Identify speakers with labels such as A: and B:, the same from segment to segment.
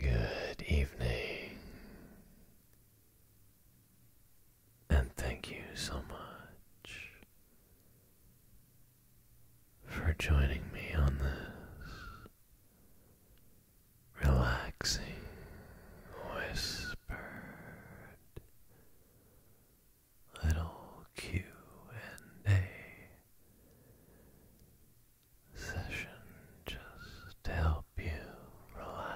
A: Good evening, and thank you so much for joining me on this relaxing whispered little Q and A session just to help you relax,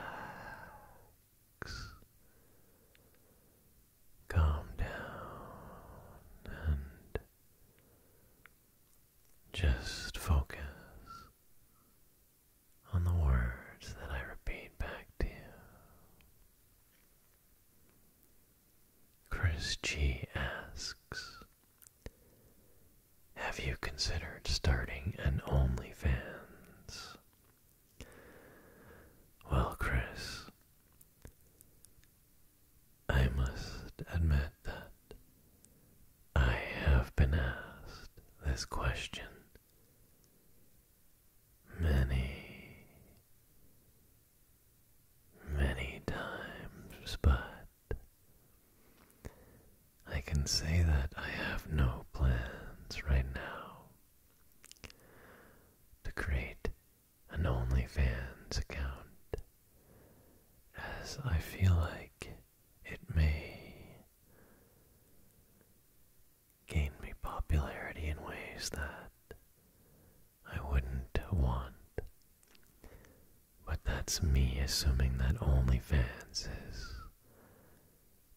A: calm down and just focus on the words that I repeat back to you. Chris G asks, have you considered starting an OnlyFans? Well, Chris, I must admit that I have been asked this question many, many times, but I can say that I have no plans right now to create an OnlyFans account, as I feel like it may gained me popularity in ways that I wouldn't want. But that's me assuming that OnlyFans is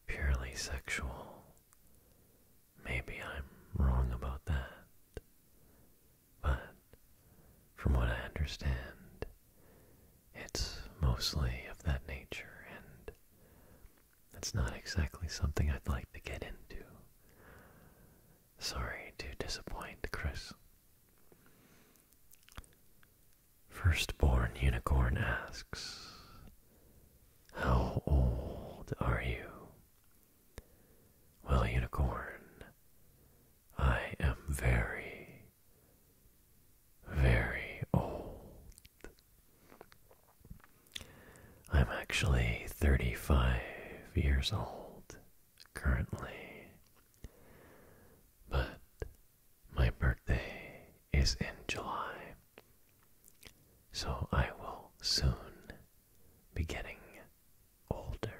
A: purely sexual. Maybe I'm wrong about that. But from what I understand, it's mostly of that nature, and that's not exactly something I'd like to get into. Sorry to disappoint, Chris. Firstborn Unicorn asks, How old are you? Well, Unicorn, I am very, very old. I'm actually 35 years old currently, but my birthday is in July, so I will soon be getting older.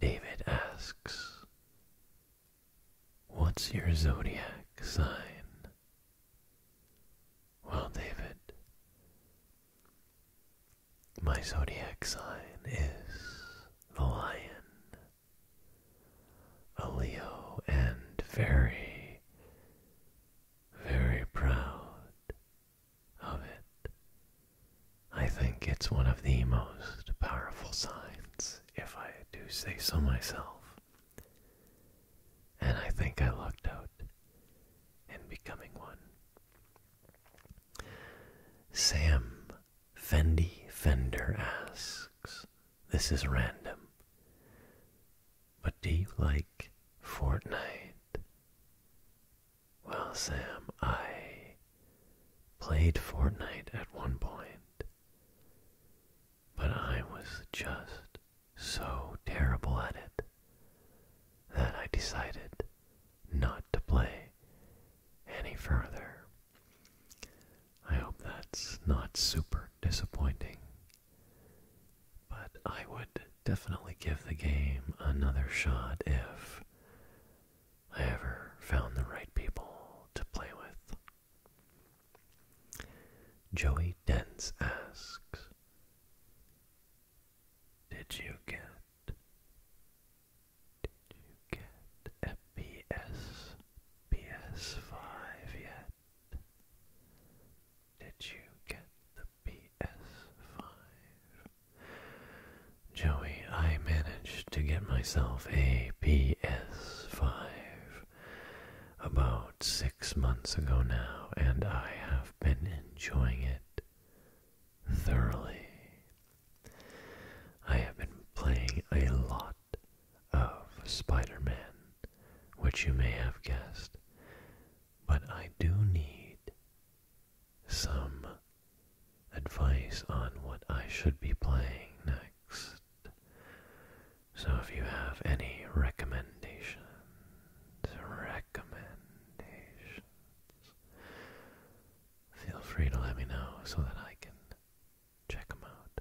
A: David asks, What's your zodiac sign? Well, David, my zodiac sign is the lion, a Leo, and very, very proud of it. I think it's one of the most powerful signs, if I do say so myself. And I think I lucked out in becoming one. Sam Fendi Fender asks, This is random, but do you like Fortnite? Well, Sam, I played Fortnite at one point, but I was just so terrible at it that I decided not to play any further. I hope that's not super disappointing, but I would definitely give the game another shot if I ever found the right people to play with. Joey Dens asks, Did you get, did you get FPS, PS5 yet? Did you get the PS5? Joey, I managed to get myself a PS5 about six months ago now, and I have been enjoying it thoroughly. I have been playing a lot of Spider Man, which you may have guessed, but I do need some advice on what I should be playing next. So if you have any recommendations, recommendations, feel free to let me know so that I can check them out.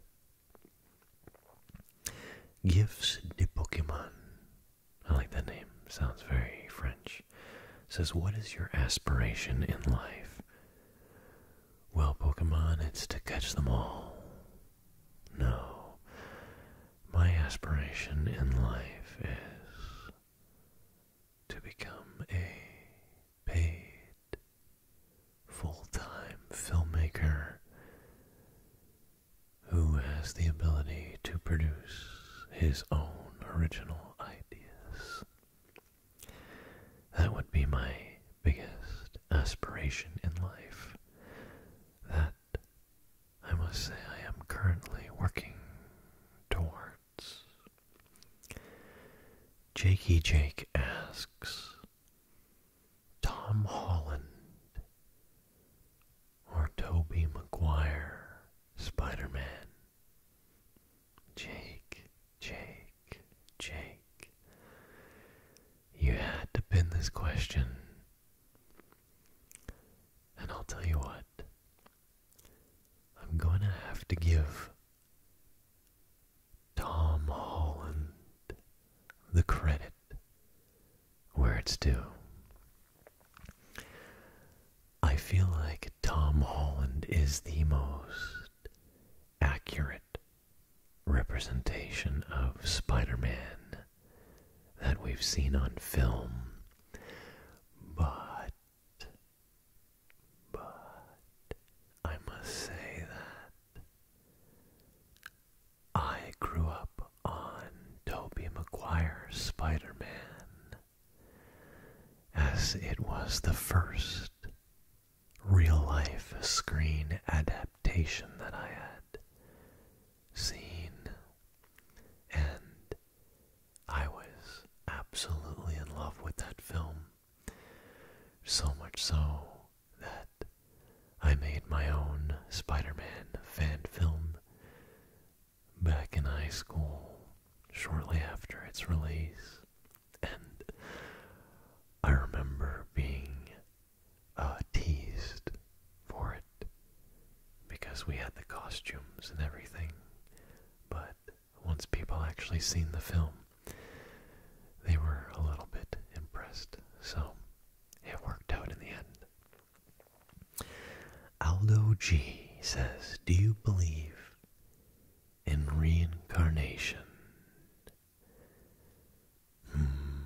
A: Gifts de Pokemon. I like that name. Sounds very French. Says, what is your aspiration in life? Well, Pokemon, it's to catch them all. No. My aspiration in life is to become a paid full time filmmaker who has the ability to produce his own original ideas. That would be my biggest aspiration in life. That I must say I am currently working towards. Jakey Jake asks Tom Holland or Toby McGuire, Spider Man. Jake, Jake, Jake. You had to pin this question. And I'll tell you what, I'm going to have to give Tom Holland the credit where it's due. I feel like Tom Holland is the most accurate representation of Spider Man that we've seen on film. But, but, I must say that I grew up on Tobey Maguire's Spider Man as it was the first real life screen adaptation that I had seen, and I was absolutely in love with that film. So much so that I made my own Spider Man fan film back in high school shortly after its release. And I remember being uh, teased for it because we had the costumes and everything. But once people actually seen the film, they were a little bit impressed. So it worked out in the end. Aldo G says, Do you believe and reincarnation. Hmm.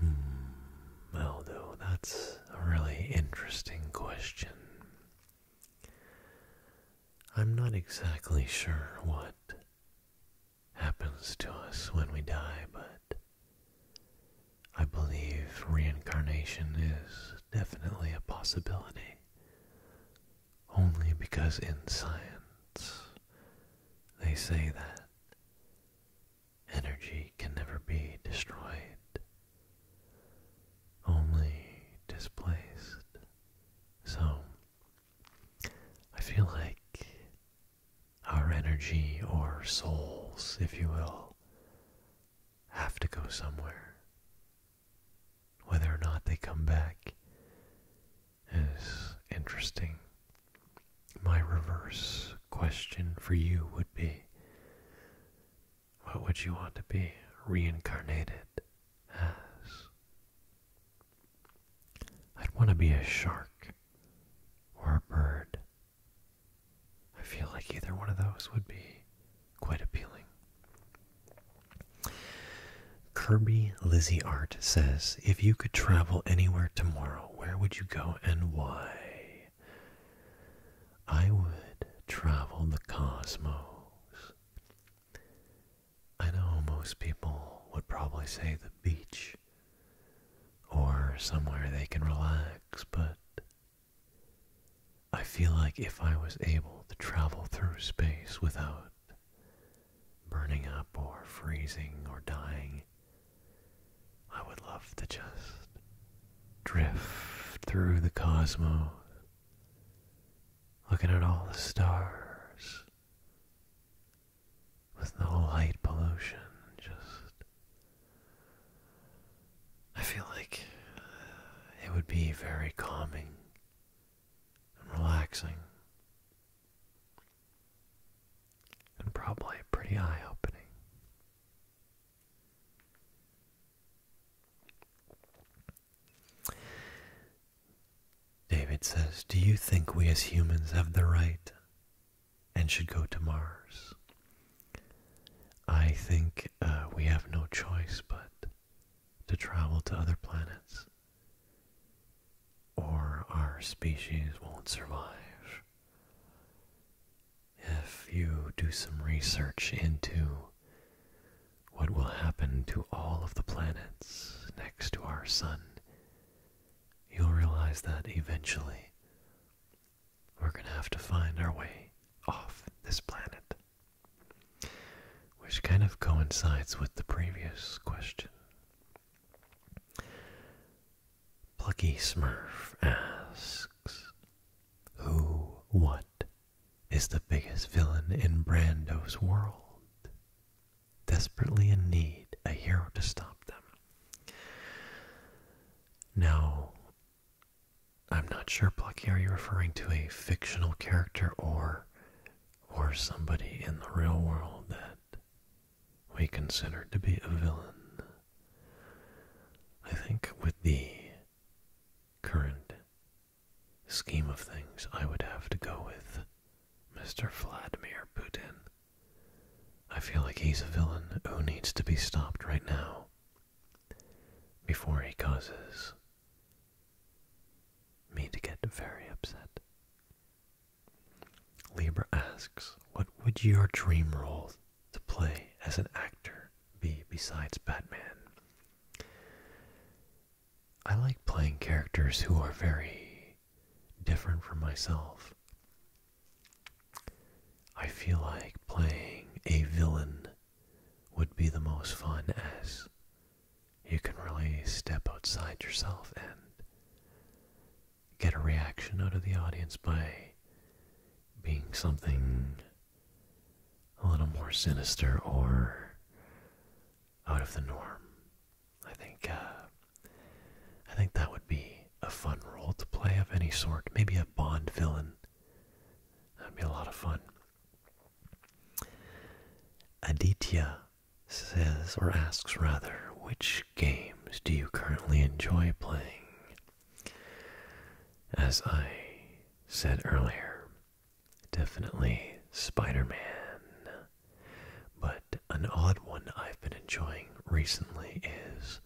A: Hmm. Aldo, that's a really interesting question. I'm not exactly sure what happens to us when we die, but I believe reincarnation is definitely a possibility only because in science they say that energy can never be destroyed, only displaced. So, I feel like our energy or souls, if you will, have to go somewhere. Whether or not they come back is interesting. My reverse question for you would be what would you want to be reincarnated as? I'd want to be a shark or a bird. I feel like either one of those would be quite appealing. Kirby Lizzie Art says, If you could travel anywhere tomorrow, where would you go and why? I would travel the cosmos. I know most people would probably say the beach or somewhere they can relax, but I feel like if I was able to travel through space without burning up or freezing or dying, I would love to just drift through the cosmos, looking at all the stars with no light pollution, just I feel like uh, it would be very calming and relaxing and probably pretty eye opening. David says, Do you think we as humans have the right and should go to Mars? I think uh, we have no choice but to travel to other planets, or our species won't survive. If you do some research into what will happen to all of the planets next to our sun, you'll realize that eventually we're going to have to find our way off this planet which kind of coincides with the previous question. Plucky Smurf asks, Who, what is the biggest villain in Brando's world? Desperately in need, a hero to stop them. Now, I'm not sure, Plucky, are you referring to a fictional character or or somebody in the real world that we consider to be a villain? I think with the current scheme of things, I would have to go with Mr. Vladimir Putin. I feel like he's a villain who needs to be stopped right now before he causes me to get very upset. Libra asks, What would your dream role to play as an actor be besides Batman? I like playing characters who are very different from myself. I feel like playing a villain would be the most fun s. you can really step outside yourself and get a reaction out of the audience by being something a little more sinister or out of the norm. I think uh, I think that would be a fun role to play of any sort. Maybe a Bond villain. That'd be a lot of fun. Aditya says, or asks rather, which games do you currently enjoy playing? As I said earlier, definitely Spider Man. But an odd one I've been enjoying recently is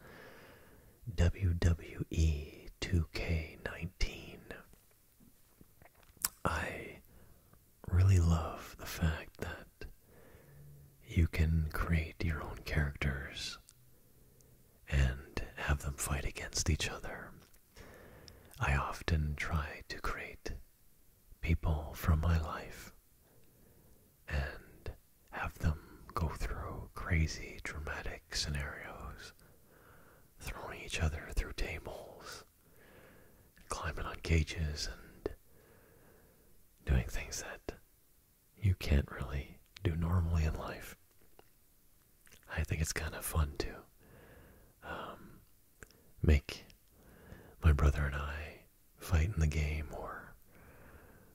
A: WWE 2K19. I really love the fact that you can create your own characters and have them fight against each other. I often try to create people from my life and have them go through crazy, dramatic scenarios throwing each other through tables, climbing on cages, and doing things that you can't really do normally in life. I think it's kind of fun too. Um, make my brother and I fight in the game or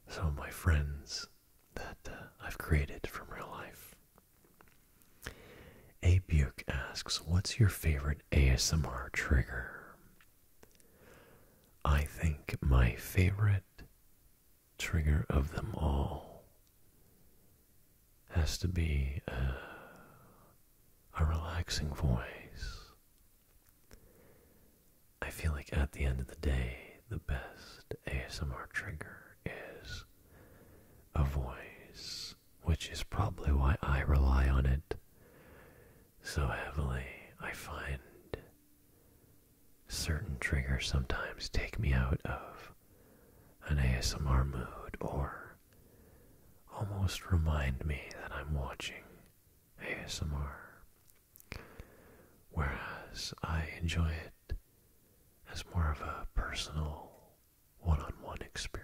A: some of my friends that uh, I've created from real life. A Buke asks, What's your favorite ASMR trigger? I think my favorite trigger of them all has to be a, uh, a relaxing voice. I feel like at the end of the day, the best ASMR trigger is a voice, which is probably why I rely on it so heavily. I find certain triggers sometimes take me out of an ASMR mood or almost remind me that I'm watching ASMR. Whereas I enjoy it as more of a personal one on one experience.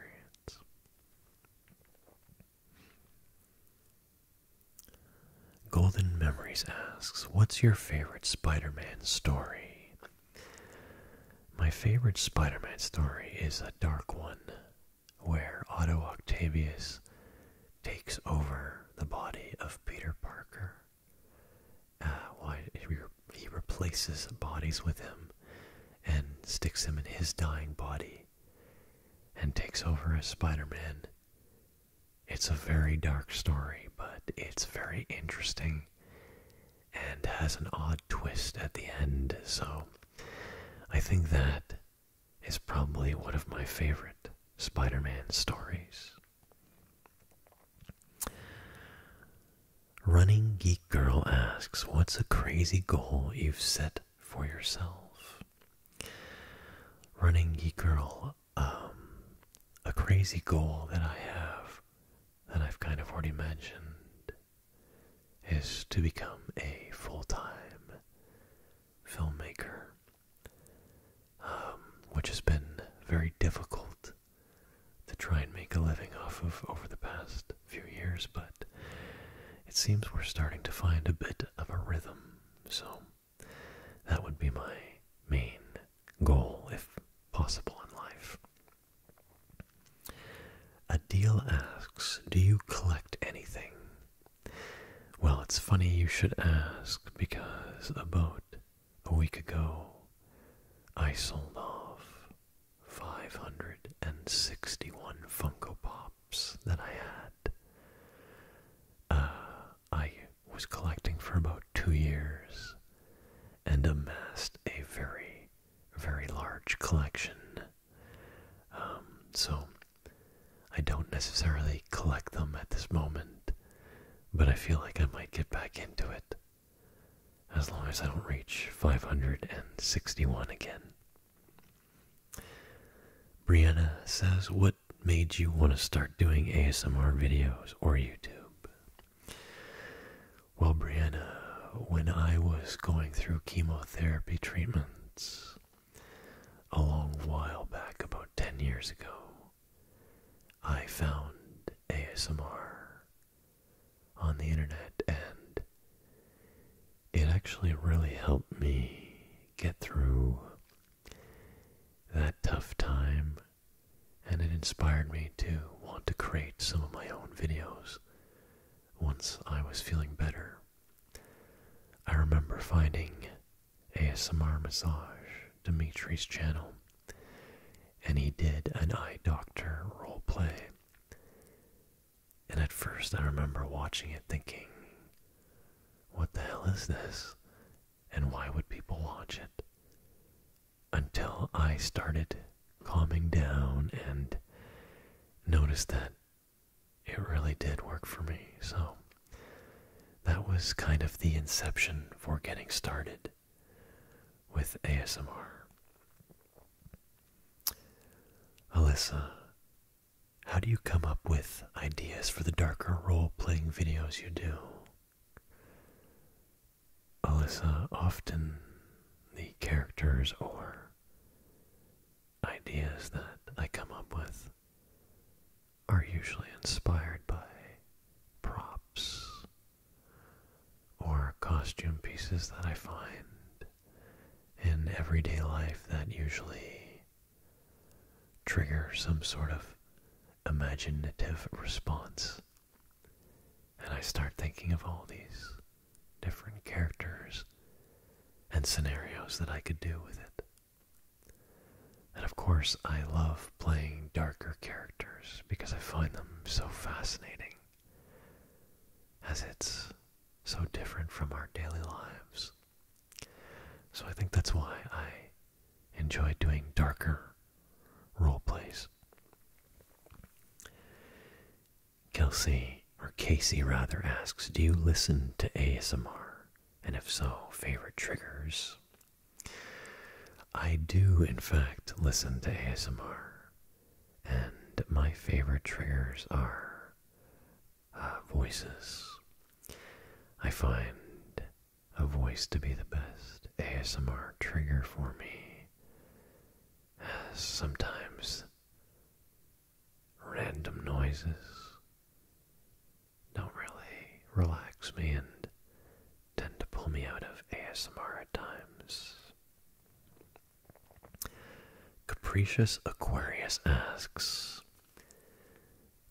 A: Golden Memories asks, What's your favorite Spider Man story? My favorite Spider Man story is a dark one where Otto Octavius takes over the body of Peter Parker. Uh, why he replaces bodies with him and sticks him in his dying body and takes over as Spider-Man. It's a very dark story, but it's very interesting and has an odd twist at the end. So I think that is probably one of my favorite Spider-Man stories. Running Geek Girl asks, What's a crazy goal you've set for yourself? Running Geek Girl, um, a crazy goal that I have that I've kind of already mentioned is to become a full time filmmaker. Um, which has been very difficult to try and make a living off of over the past few years, but it seems we're starting to find a bit of a rhythm. So that would be my main goal, if possible, in life. Adil asks, Do you collect anything? Well, it's funny you should ask because boat. A week ago, I sold off 561 Funko Pops that I had. Uh, I was collecting for about two years and amassed a very, very large collection. Um, so, I don't necessarily collect them at this moment, but I feel like I might get back into it as long as I don't reach 561 again. Brianna says, What made you want to start doing ASMR videos or YouTube? Well, Brianna, when I was going through chemotherapy treatments a long while back, about 10 years ago, I found ASMR on the internet and it actually really helped me get through that tough time and it inspired me to want to create some of my own videos once I was feeling better. I remember finding ASMR Massage, Dimitri's channel, and he did an eye doctor role play. And at first, I remember watching it thinking, what the hell is this? And why would people watch it? Until I started calming down and noticed that it really did work for me. So that was kind of the inception for getting started with ASMR. Alyssa, how do you come up with ideas for the darker role playing videos you do? Alyssa, often the characters or ideas that I come up with are usually inspired by props or costume pieces that I find in everyday life that usually trigger some sort of imaginative response. And I start thinking of all these different characters and scenarios that I could do with it. And of course, I love playing darker characters because I find them so fascinating, as it's so different from our daily lives. So I think that's why I enjoy doing darker role plays. Kelsey, or Casey rather, asks Do you listen to ASMR? And if so, favorite triggers I do, in fact, listen to ASMR, and my favorite triggers are uh, voices. I find a voice to be the best ASMR trigger for me, as sometimes random noises don't really relax me and tend to pull me out of ASMR at times. Capricious Aquarius asks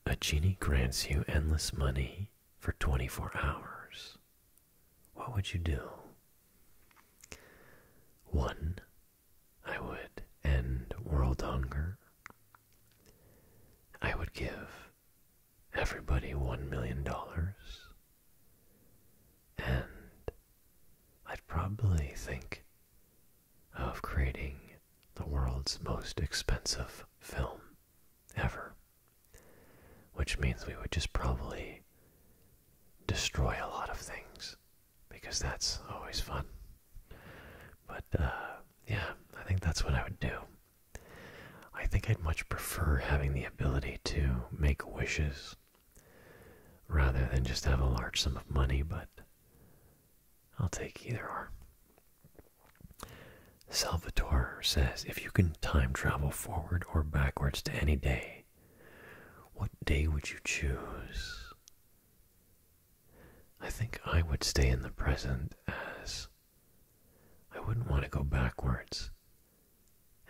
A: A genie grants you endless money for 24 hours. What would you do? One, I would end world hunger. I would give everybody $1 million. And I'd probably think of creating the world's most expensive film ever. Which means we would just probably destroy a lot of things because that's always fun. But uh, yeah, I think that's what I would do. I think I'd much prefer having the ability to make wishes rather than just have a large sum of money, but I'll take either or. Salvatore says if you can time travel forward or backwards to any day, what day would you choose? I think I would stay in the present as I wouldn't want to go backwards.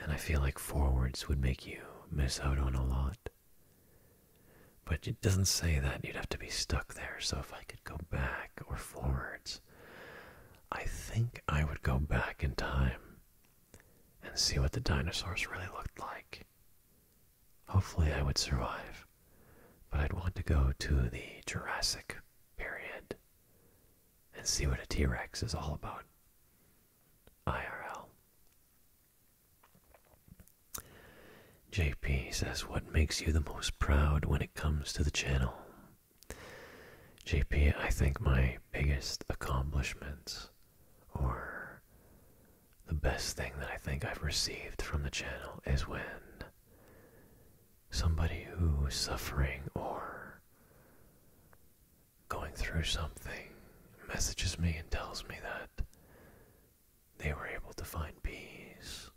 A: And I feel like forwards would make you miss out on a lot. But it doesn't say that you'd have to be stuck there, so if I could go back or forwards, I think I would go back in time and see what the dinosaurs really looked like. Hopefully, I would survive, but I'd want to go to the Jurassic period and see what a T Rex is all about. IRL. JP says, What makes you the most proud when it comes to the channel? JP, I think my biggest accomplishments or the best thing that I think I've received from the channel is when somebody who is suffering or going through something messages me and tells me that they were able to find peace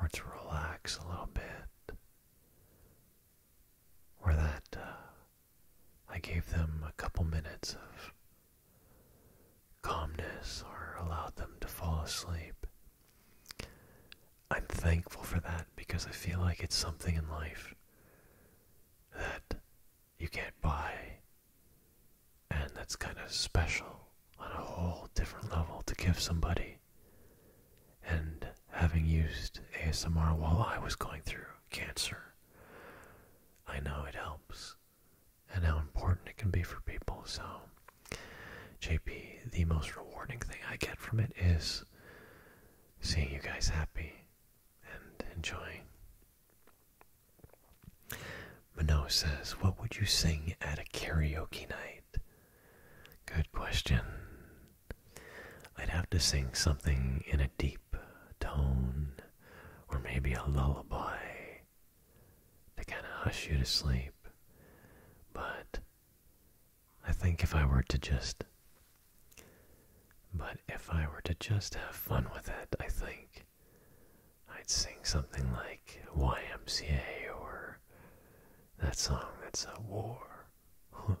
A: or to relax a little bit, or that uh, I gave them a couple minutes of calmness or allowed them to fall asleep. I'm thankful for that because I feel like it's something in life that you can't buy, and that's kind of special on a whole different level to give somebody. And having used ASMR while I was going through cancer, I know it helps and how important it can be for people. So JP, the most rewarding thing I get from it is seeing you guys happy and enjoying. Mano says, What would you sing at a karaoke night? Good question. I'd have to sing something in a deep tone, or maybe a lullaby to kind of hush you to sleep. But I think if I were to just. But if I were to just have fun with it, I think I'd sing something like YMCA or that song that's a war.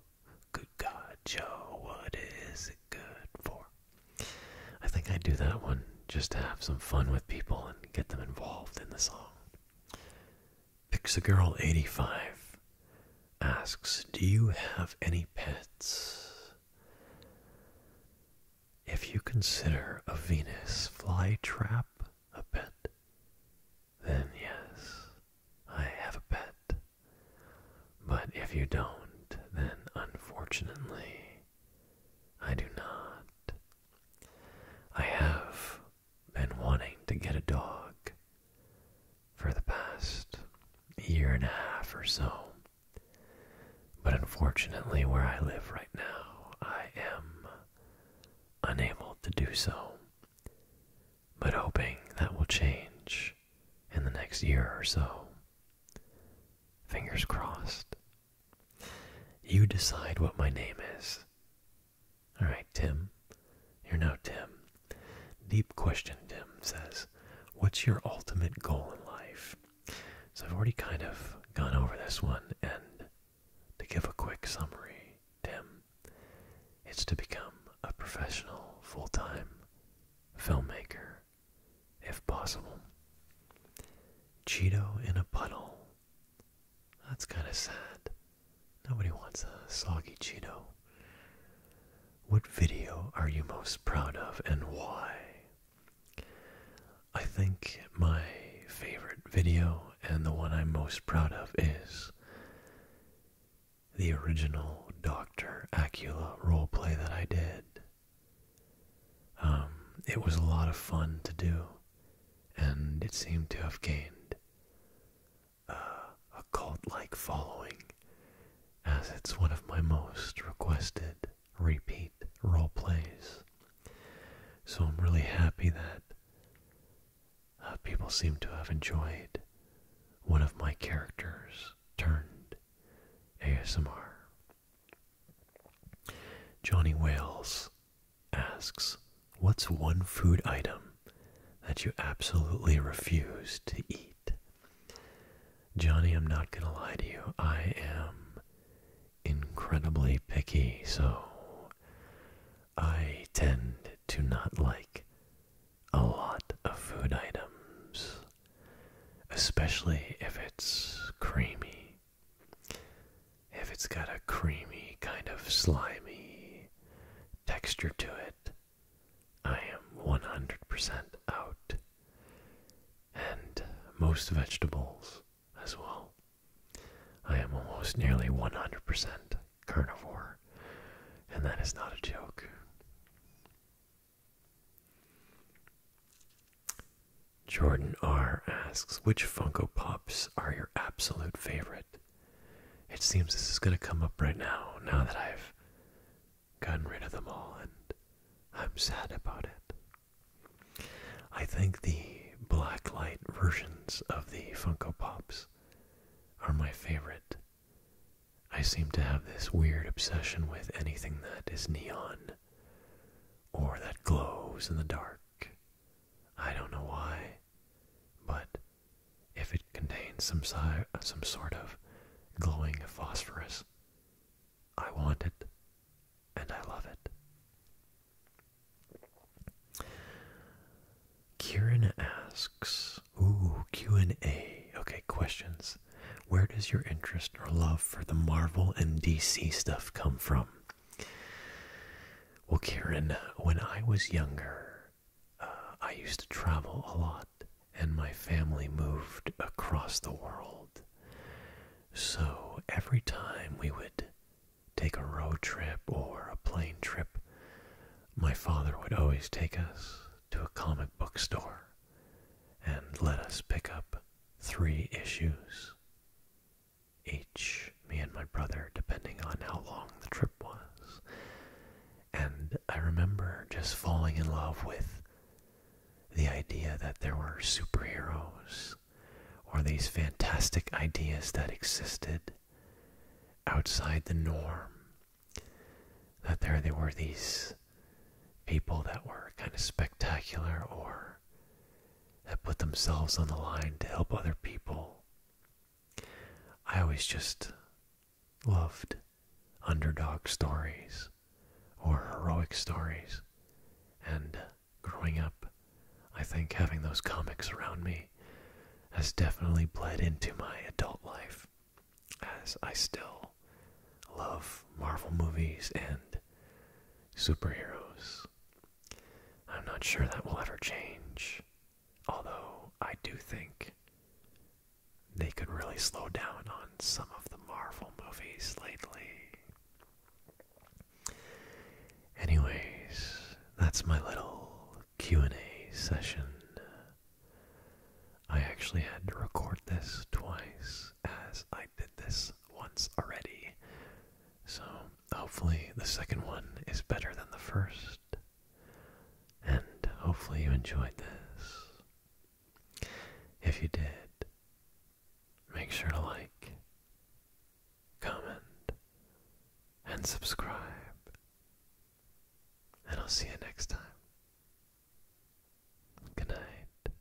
A: good God, Joe, what is it good for? I think I'd do that one just to have some fun with people and get them involved in the song. Pixagirl85 asks, Do you have any pets? If you consider a Venus flytrap a pet, then yes, I have a pet. But if you don't, then unfortunately, I do not. I have been wanting to get a dog for the past year and a half or so. But unfortunately, where I live right now, I am unable to do so. But hoping that will change in the next year or so. Fingers crossed. You decide what my name is. All right, Tim. You're now Tim. Deep question, Tim says, What's your ultimate goal in life? So I've already kind of gone over this one, and to give a quick summary, Tim, it's to become a professional, full time filmmaker, if possible. Cheeto in a puddle. That's kind of sad. Nobody wants a soggy Cheeto. What video are you most proud of and why? I think my favorite video and the one I'm most proud of is the original Dr. Acula play that I did. Um, it was a lot of fun to do, and it seemed to have gained uh, a cult-like following, as it's one of my most requested repeat role plays. So I'm really happy that uh, people seem to have enjoyed one of my characters turned ASMR. Johnny Wales asks, What's one food item that you absolutely refuse to eat? Johnny, I'm not going to lie to you. I am incredibly picky, so I tend to not like a lot of food items, especially if it's creamy if it's got a creamy, kind of slimy texture to it, I am 100% out. And most vegetables as well. I am almost nearly 100% carnivore, and that is not a joke. Jordan R asks, which Funko Pops are your absolute favorite? it. seems this is going to come up right now, now that I've gotten rid of them all, and I'm sad about it. I think the black light versions of the Funko Pops are my favorite. I seem to have this weird obsession with anything that is neon or that glows in the dark. I don't know why, but if it contains some, some sort of glowing phosphorus, I want it and I love it. Kieran asks, ooh, Q&A, okay, questions. Where does your interest or love for the Marvel and DC stuff come from? Well, Karen, when I was younger, uh, I used to travel a lot, and my family moved across the world. So every time we would take a road trip or a plane trip, my father would always take us to a comic book store and let us pick up three issues each, me and my brother, depending on how long the trip was. And I remember just falling in love with the idea that there were superheroes or these fantastic ideas that existed outside the norm. That there they were these people that were kind of spectacular or that put themselves on the line to help other people I always just loved underdog stories or heroic stories. And growing up, I think having those comics around me has definitely bled into my adult life, as I still love Marvel movies and superheroes I'm not sure that will ever change, although I do think they could really slow down on some of the Marvel movies lately. Anyways, that's my little Q&A session. I actually had to record this twice as I did this once already so, hopefully, the second one is better than the first. And hopefully, you enjoyed this. If you did, make sure to like, comment, and subscribe. And I'll see you next time. Good night.